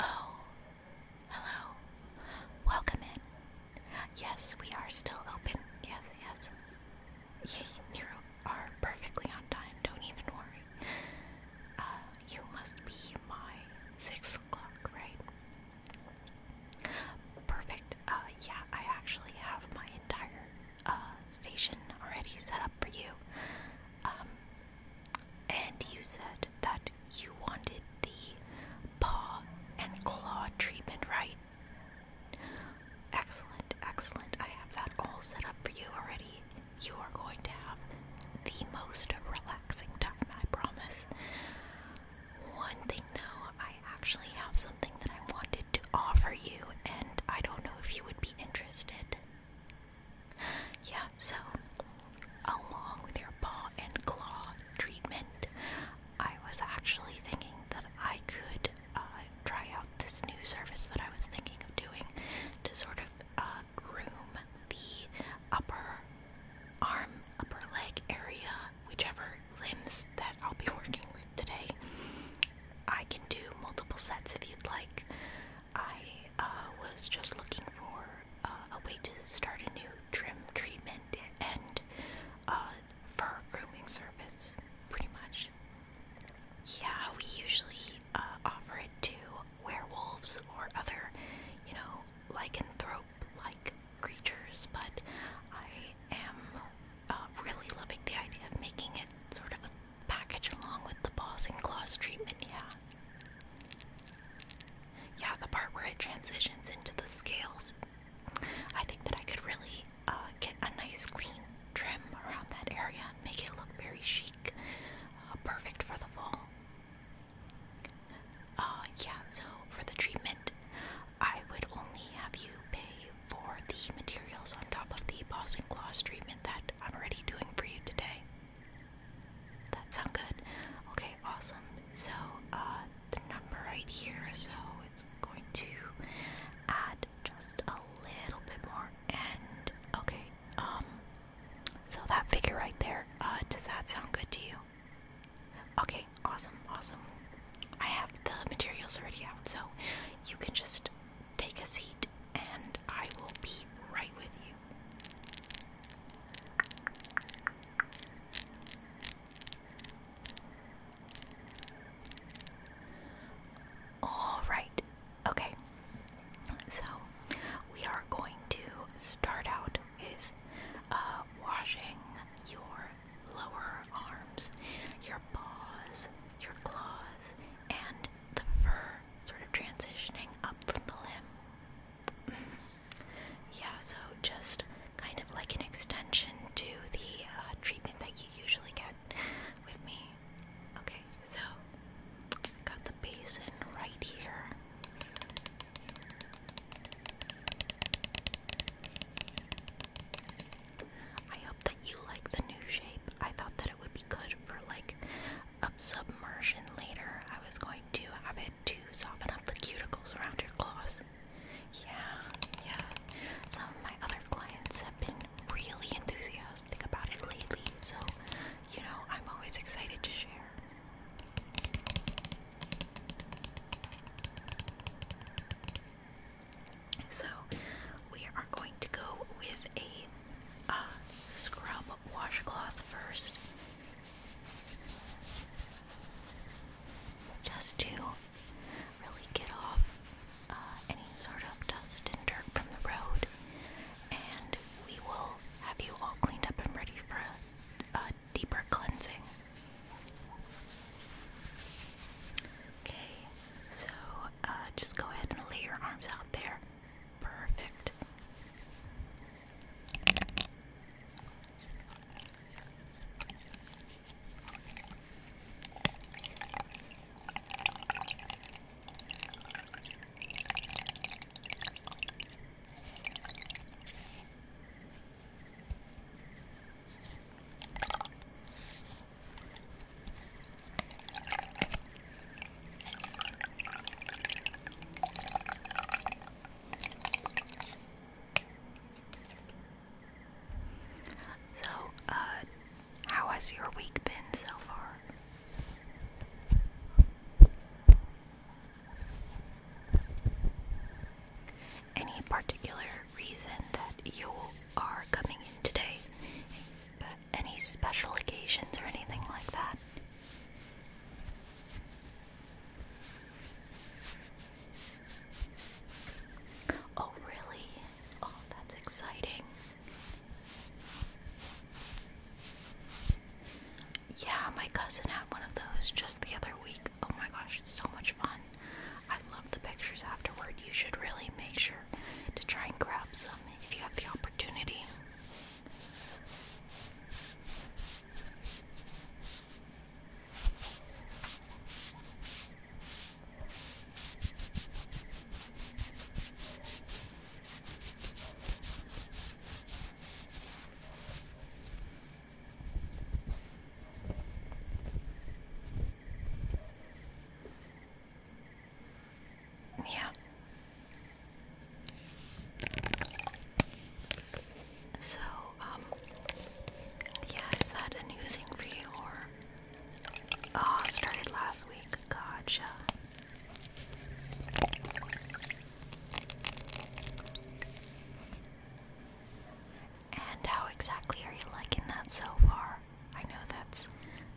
Oh, hello. Welcome in. Yes, we are still open. Yes, yes. You, you are perfectly on time. Don't even worry. Uh, you must be my six o'clock, right? Perfect. Uh, yeah, I actually have my entire uh, station already set up for you. Um, and you said that you wanted the paw and claw treatment, right? Excellent, excellent. I have that all set up for you already. You are going to have the most relaxing relaxing time, I promise. One thing though, I actually have something that I wanted to offer you, and I don't know if you would be interested. Yeah, so along with your paw and claw treatment, I was actually thinking that I could uh, try out this new service that I was thinking of doing to sort of uh, groom the upper arm, upper leg area, whichever limbs that I'll be working with today. I can do multiple sets if you'd like. I uh, was just looking for uh, a way to start a new trim treatment and uh, grooming service, pretty much. Yeah, we usually uh, offer it to werewolves or other, you know, lycanthrope-like creatures, but I am uh, really loving the idea of making it sort of a package along with the paws and claws treatment, yeah. Yeah, the part where it transitions into the scales. I think that I could really uh, get a nice clean trim around that area, make it look very chic, uh, perfect for the fall. Uh, yeah, so for the treatment, I would only have you pay for the materials on top of the Boss and Gloss treatment that I'm already doing for you today. That sound good? Okay, awesome. So, uh, the number right here, so it's going to add just a little bit more, and okay, um, so that figure right there, uh, does that sound good to you? Okay, awesome, awesome. I have the materials already out, so you can just take a seat and I will be right with you. Alright, okay. So we are going to start out with uh, washing your lower arms, your paws, your claws, and the fur sort of transitioning up from the limb. Mm-hmm. yeah, so just kind of like an extension to the uh, treatment that you usually get with me. Okay, so I got the basin right here. I hope that you like the new shape. I thought that it would be good for like a submersion later. I was going to have it to soften up the cuticles around your claws. Yeah, yeah. Some of my other clients have been really enthusiastic about it lately, so you know, I'm always excited to share. So we are going to go with a uh, scrub washcloth first, just to really get off uh, any sort of dust and dirt from the road, and we will have you all cleaned up and ready for a deeper cleansing. Okay, so uh, just go ahead and lay your arms out there. Perfect. So, uh, how has your week been so far? Any particular reason that you are coming in today? Any special occasions or anything like that? Oh, really? Oh, that's exciting. Yeah, my cousin had one of those just the other week. Oh my gosh, so much fun. I love the pictures afterward. You should really make sure to try and grab some if you have the opportunity. Yeah. So, um, yeah, is that a new thing for you or? Oh, started last week. Gotcha. And how exactly are you liking that so far? I know that's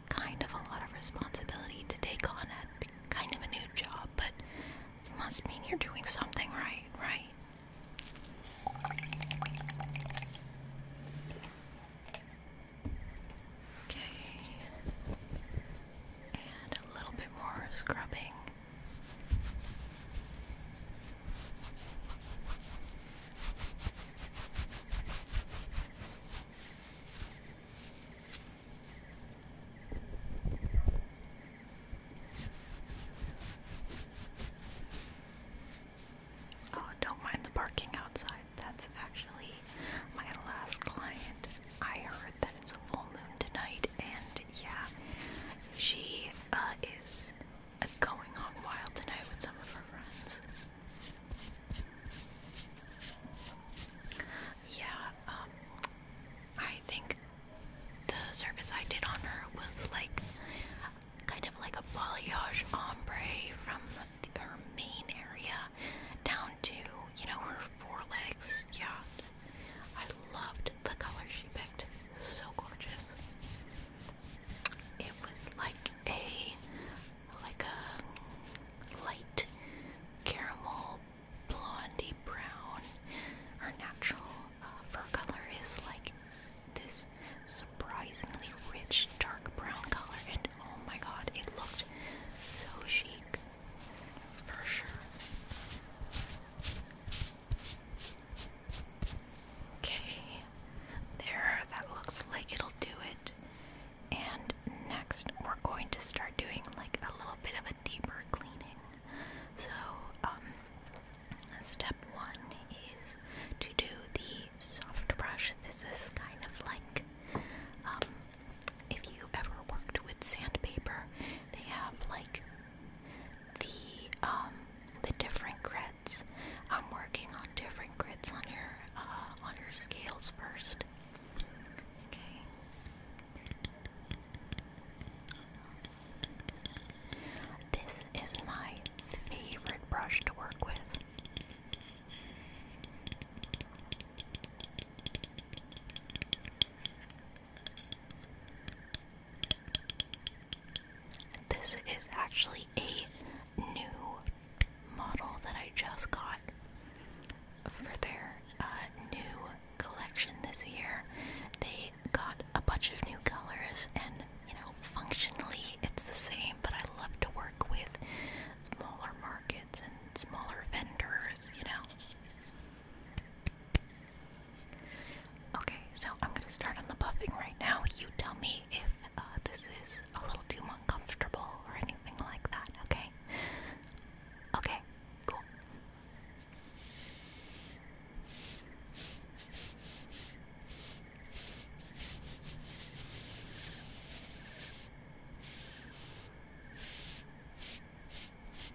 kind of a lot of responsibility to take on at kind of a new job, but it must mean you're doing something right, right? Okay. And a little bit more scrubbing. Oh, don't mind the barking outside. That's actually my last client. I heard that it's a full moon tonight and yeah, she uh, is going on wild tonight with some of her friends. Yeah, um, I think the service I did on her was like kind of like a balayage ombre from her main area down to, you know, her forelegs. Yeah, I loved the color she picked. So gorgeous. It was like a like a light caramel blondie brown. Her natural uh, fur color is like this surprisingly rich dark brown color, and oh my god, it looked so chic for sure. Okay, there, that looks like it'll do it. And next, we're going to start doing like a little bit of a deeper cleaning. So, um, step one is to do the soft brush. This is kind of like, um, if you ever worked with sandpaper, they have like the um the different grids. I'm working on different grids on your uh, on your scales first. Okay. This is my favorite brush to work with. This is actually a new model that I just got for their uh, new collection this year. They got a bunch of new colors, and you know, functionally it's the same, but I love to work with smaller markets and smaller vendors, you know. Okay, so I'm gonna start on the buffing right now. You tell me if uh, this is a little too uncomfortable or anything like that, okay? Okay, cool.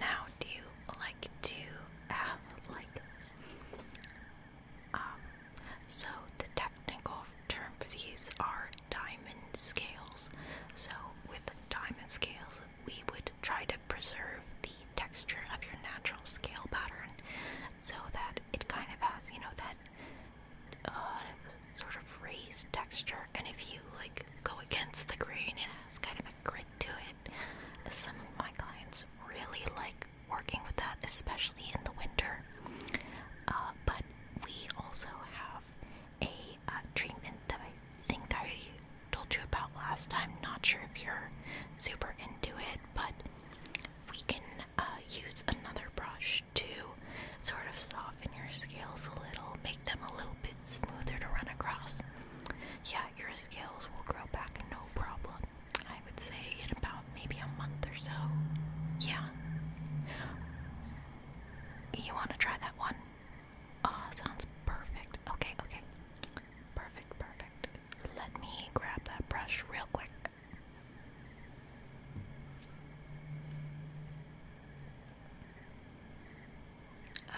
Now, do you like to have like um? So the technical term for these are diamond scales. So with diamond scales, we would try to preserve the texture of your natural scale pattern, so that it kind of has you know that uh, sort of raised texture, and if you like go against the grain, it has kind of a grit to it. Some of my clients really like working with that, especially in the winter. Uh, but we also have a uh, treatment that I think I told you about last time. Not sure if you're super into it, but we can use another brush to sort of soften your scales a little, make them a little bit smoother to run across. Yeah, your scales will grow back no problem. I would say in about maybe a month or so. Yeah. You want to try that one? Oh, sounds perfect. Okay, okay. Perfect, perfect. Let me grab that brush real quick.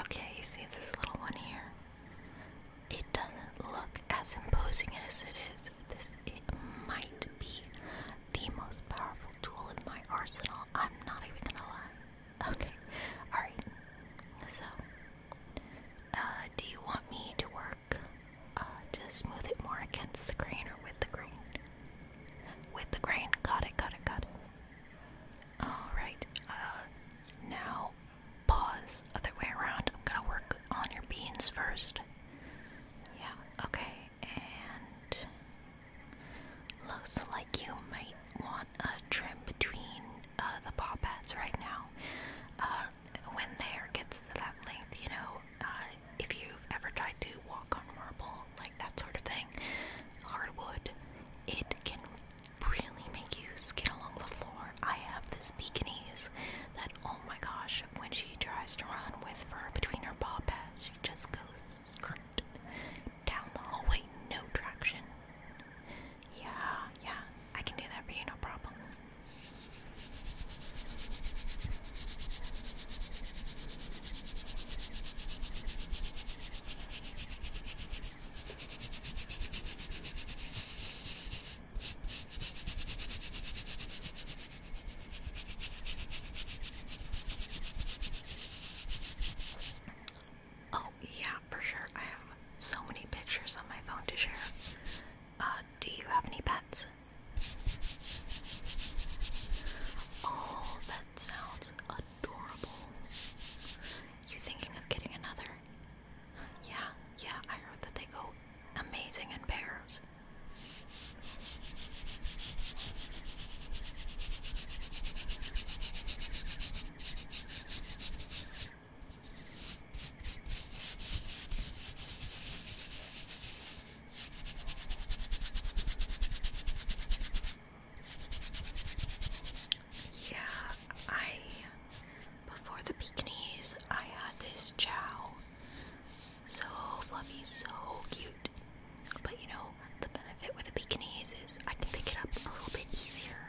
Okay, you see this little one here? It doesn't look as imposing as it is. This it might be the most powerful tool in my arsenal. I'm not even gonna lie. Okay, alright. So, uh, do you want me to work uh, to smooth it more against the green or with the green? With the grain. Got it, got it, got it. Alright, uh, now pause. Other way around. i to work on your beans first. Yeah, okay, and. Looks like you might want a trim between uh, the paw pads right now. Uh, when the hair gets to that length, you know, uh, if you've ever tried to walk on marble, like that sort of thing, hardwood, it can really make you skid along the floor. I have this Pekinese that, oh my gosh, when she tries to run with fur between her paw pads, she just goes skirt down the hallway, no traction. Yeah, yeah, I can do that for you, no problem. Oh, yeah, for sure. I have so many pictures on my phone to share. Uh, do you have any pets? Oh, that sounds adorable. You thinking of getting another? Yeah, yeah, I heard that they go amazing in pairs. Yeah, I before the Pekinese, I had this chow. So fluffy, so cute. But you know, the benefit with the Pekinese is I can pick it up a little bit easier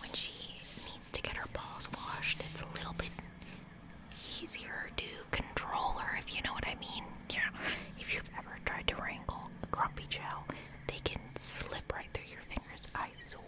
when she needs to get her paws washed. It's a little bit easier to control her, if you know what I mean. Yeah ever tried to wrangle a grumpy gel, they can slip right through your fingers, I swear.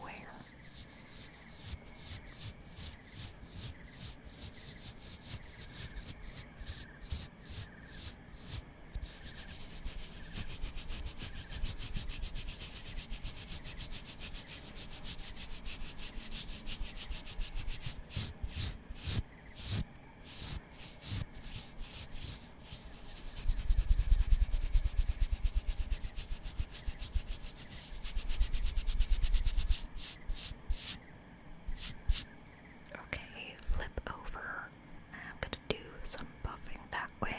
Okay, flip over. I'm going to do some buffing that way.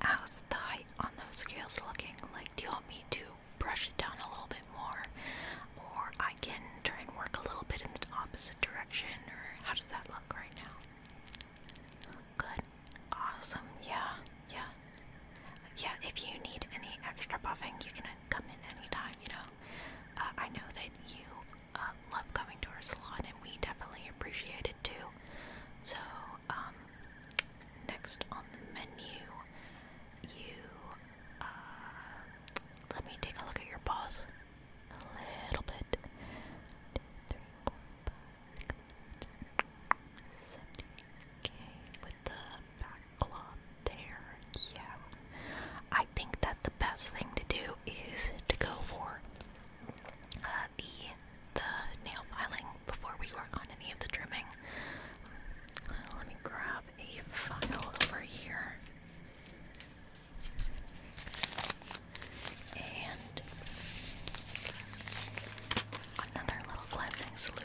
How's the height on those scales looking? Like, do you want me to brush it down a little bit more? Or I can try and work a little bit in the opposite direction? Or how does that look right now? Good. Awesome. Yeah. Yeah. Yeah, if you need any extra buffing, you can come in anytime, you know? down. Uh, I know that you uh, love coming to our salon, and we definitely appreciate it too. So, um, next on the menu, you uh, let me take a look at your paws a little bit. Two, three, four, five, six, seven, okay, with the backlot there. Yeah. I think that the best thing to do is to go for uh, the the nail filing before we work on any of the trimming. Uh, let me grab a file over here. And another little cleansing solution.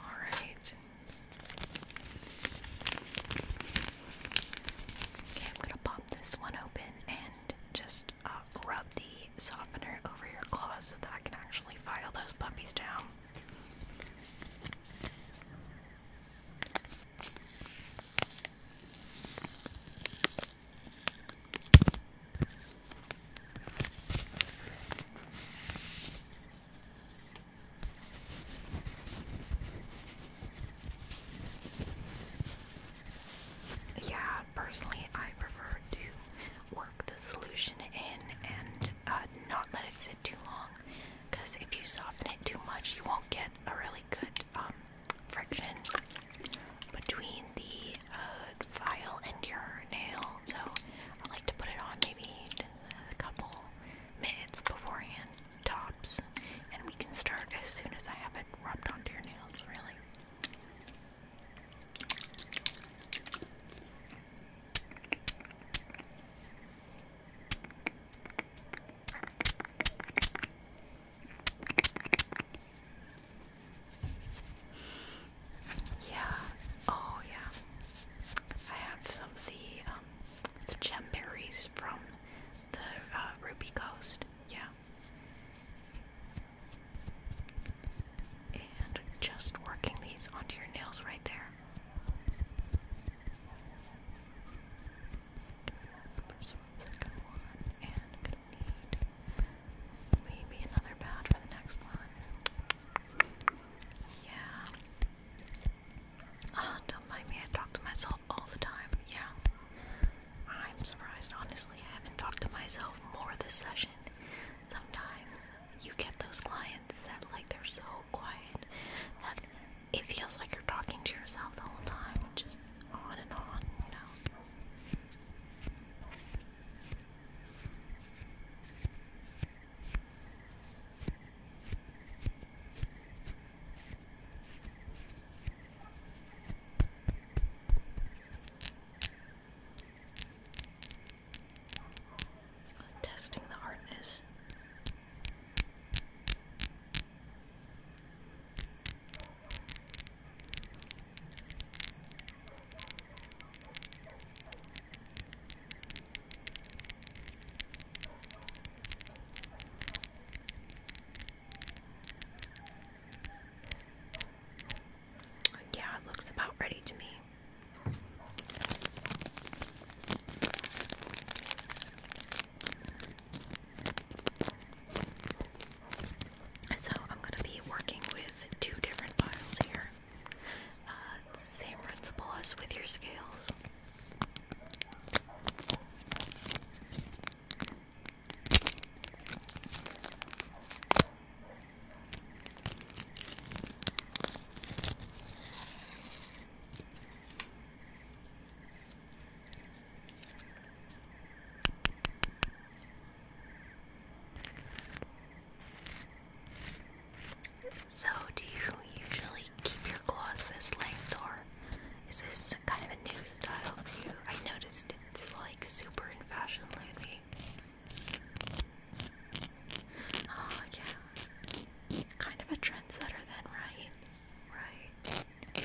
All right. Okay, I'm gonna pop this one open and just uh, rub the softener over your claws so that I can actually file those puppies down. Yeah, personally, I prefer to work the solution in and uh, not let it sit too long because if you soften it too much, you won't get a really good um, friction between the uh, file and your nail, so I like to put it on maybe a couple minutes beforehand, tops, and we can start as soon as I have it rubbed onto your nails, really. Yeah. Oh yeah. I have some of the um the gem berries from the uh, Ruby Coast. Yeah. And just working these onto your nails right there. First one, second one, and gonna need Maybe another pad for the next one. Yeah. Oh, don't mind me, I talk to myself all the time. Yeah. I'm surprised, honestly, I haven't talked to myself more this session. Sometimes you get those clients that, like, they're so quiet that it feels like you're talking to yourself the whole time, just on and on, you know. Testing the hardness. Yeah, it looks about ready to me. So I'm going to be working with two different files here. Uh, same principle as with your scales. So, do you usually keep your claws this length, or is this kind of a new style for you? I noticed it's like super in fashion lately. Oh, yeah. Kind of a trendsetter, then, right? Right.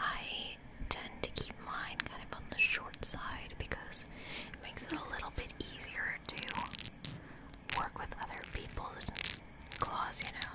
I tend to keep mine kind of on the short side because it makes it a little bit easier to work with other people's claws, you know.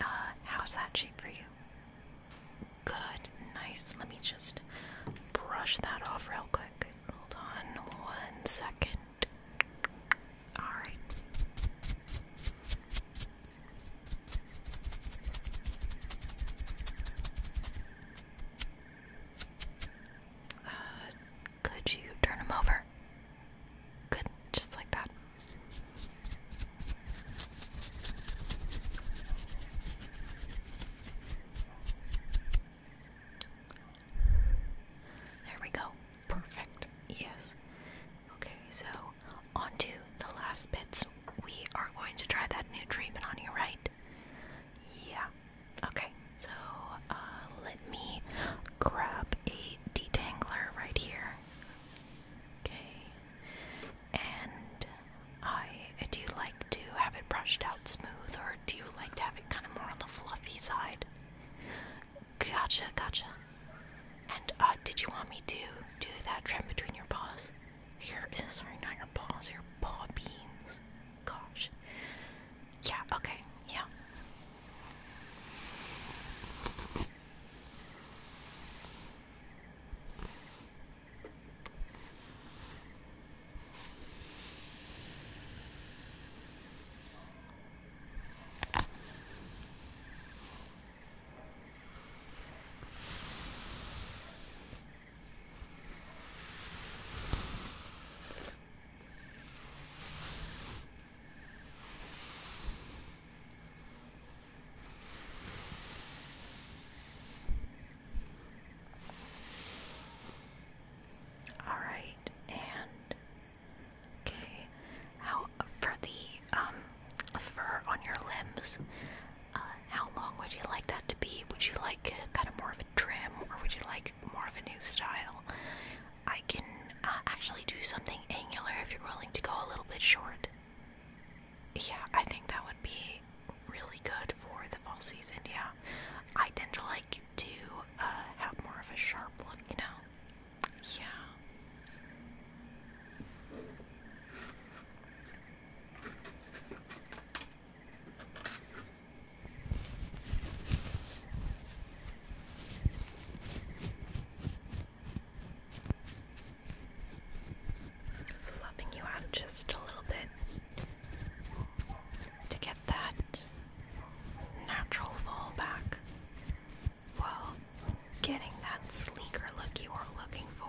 Uh, how's that cheap for you? Good, nice. Let me just brush that off real quick. Hold on one second. Alright. Uh, could you turn him over? Good, just like that. There we go. Perfect. Yes. Okay, so on to the last bits. We are going to try that new treatment on your right? Yeah. Okay, so uh, let me grab a detangler right here. Okay, and I do you like to have it brushed out smooth, or do you like to have it kind of more on the fluffy side? Gotcha, gotcha. And uh, did you want me to do that trim between your paws? Your sorry, not your paws, your paw beans. Gosh. Yeah. Okay. Yeah. All right, and Okay. How for the um, fur on your limbs? Uh, how long would you like that to be? Would you like kind of more of a trim, or would you like more of a new style? I can uh, actually do something angular if you're willing to go a little bit short. Yeah, I think that would be really good for the fall season. Yeah, I tend to like to uh, have more of a sharp look, you know. Yeah. Fluffing you out just a little bit to get that natural fall back while getting that sleeker look you were looking for.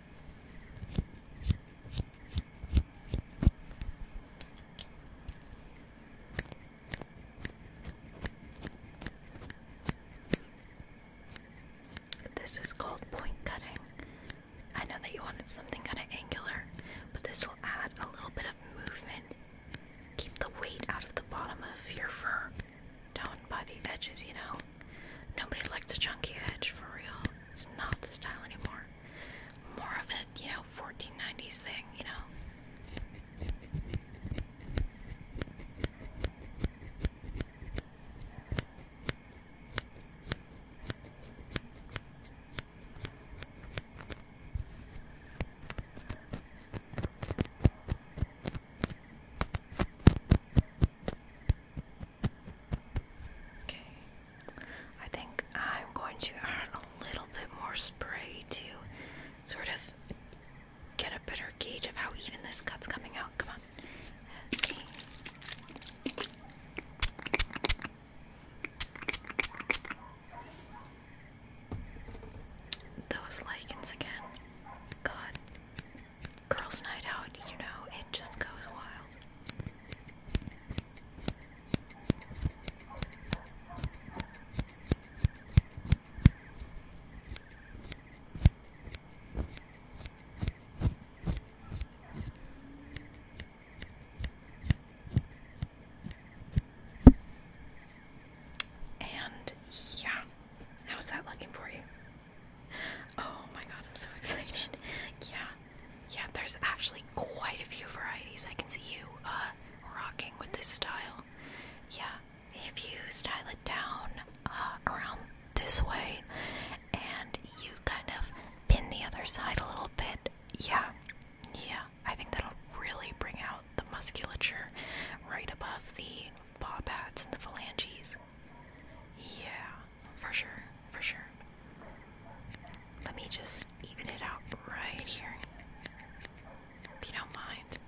This is called point cutting. I know that you wanted something kind of angular, but this will add a little bit of movement. Keep the weight out of the bottom of your fur down by the edges, you know? Nobody likes a chunky edge for real. It's not the style anymore. More of a, you know, 1490s thing, you know. Okay. I think I'm going to add a little bit more spray to sort of get a better gauge of how even this cut's coming out. Come on. see. Those lichens again. God, girls' night out, you know, it just goes wild. And yeah, how's that looking for you? oh my god, I'm so excited. Yeah, yeah, there's actually quite a few varieties. I can see you uh, rocking with this style. Yeah, if you style it down uh, around this way and you kind of pin the other side a little bit, yeah, yeah, I think that'll really bring out the musculature right above the paw pads and the phalanges. Yeah for sure, for sure. Let me just even it out right here. If you don't mind.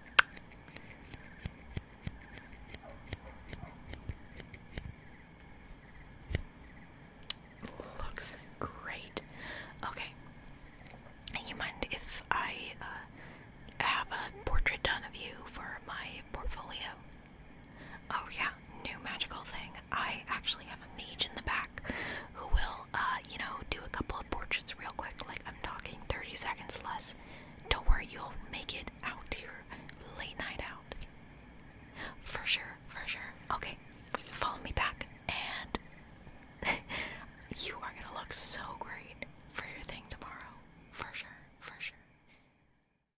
Looks great. Okay. You mind if I uh, have a portrait done of you for my portfolio? Oh yeah, new magical thing. I actually have a mage in the back who will, uh, you know, do a couple of portraits real quick. Like I'm talking 30 seconds less. Don't worry, you'll make it out to your late night out. For sure, for sure. Okay, follow me back, and you are gonna look so great for your thing tomorrow. For sure, for sure.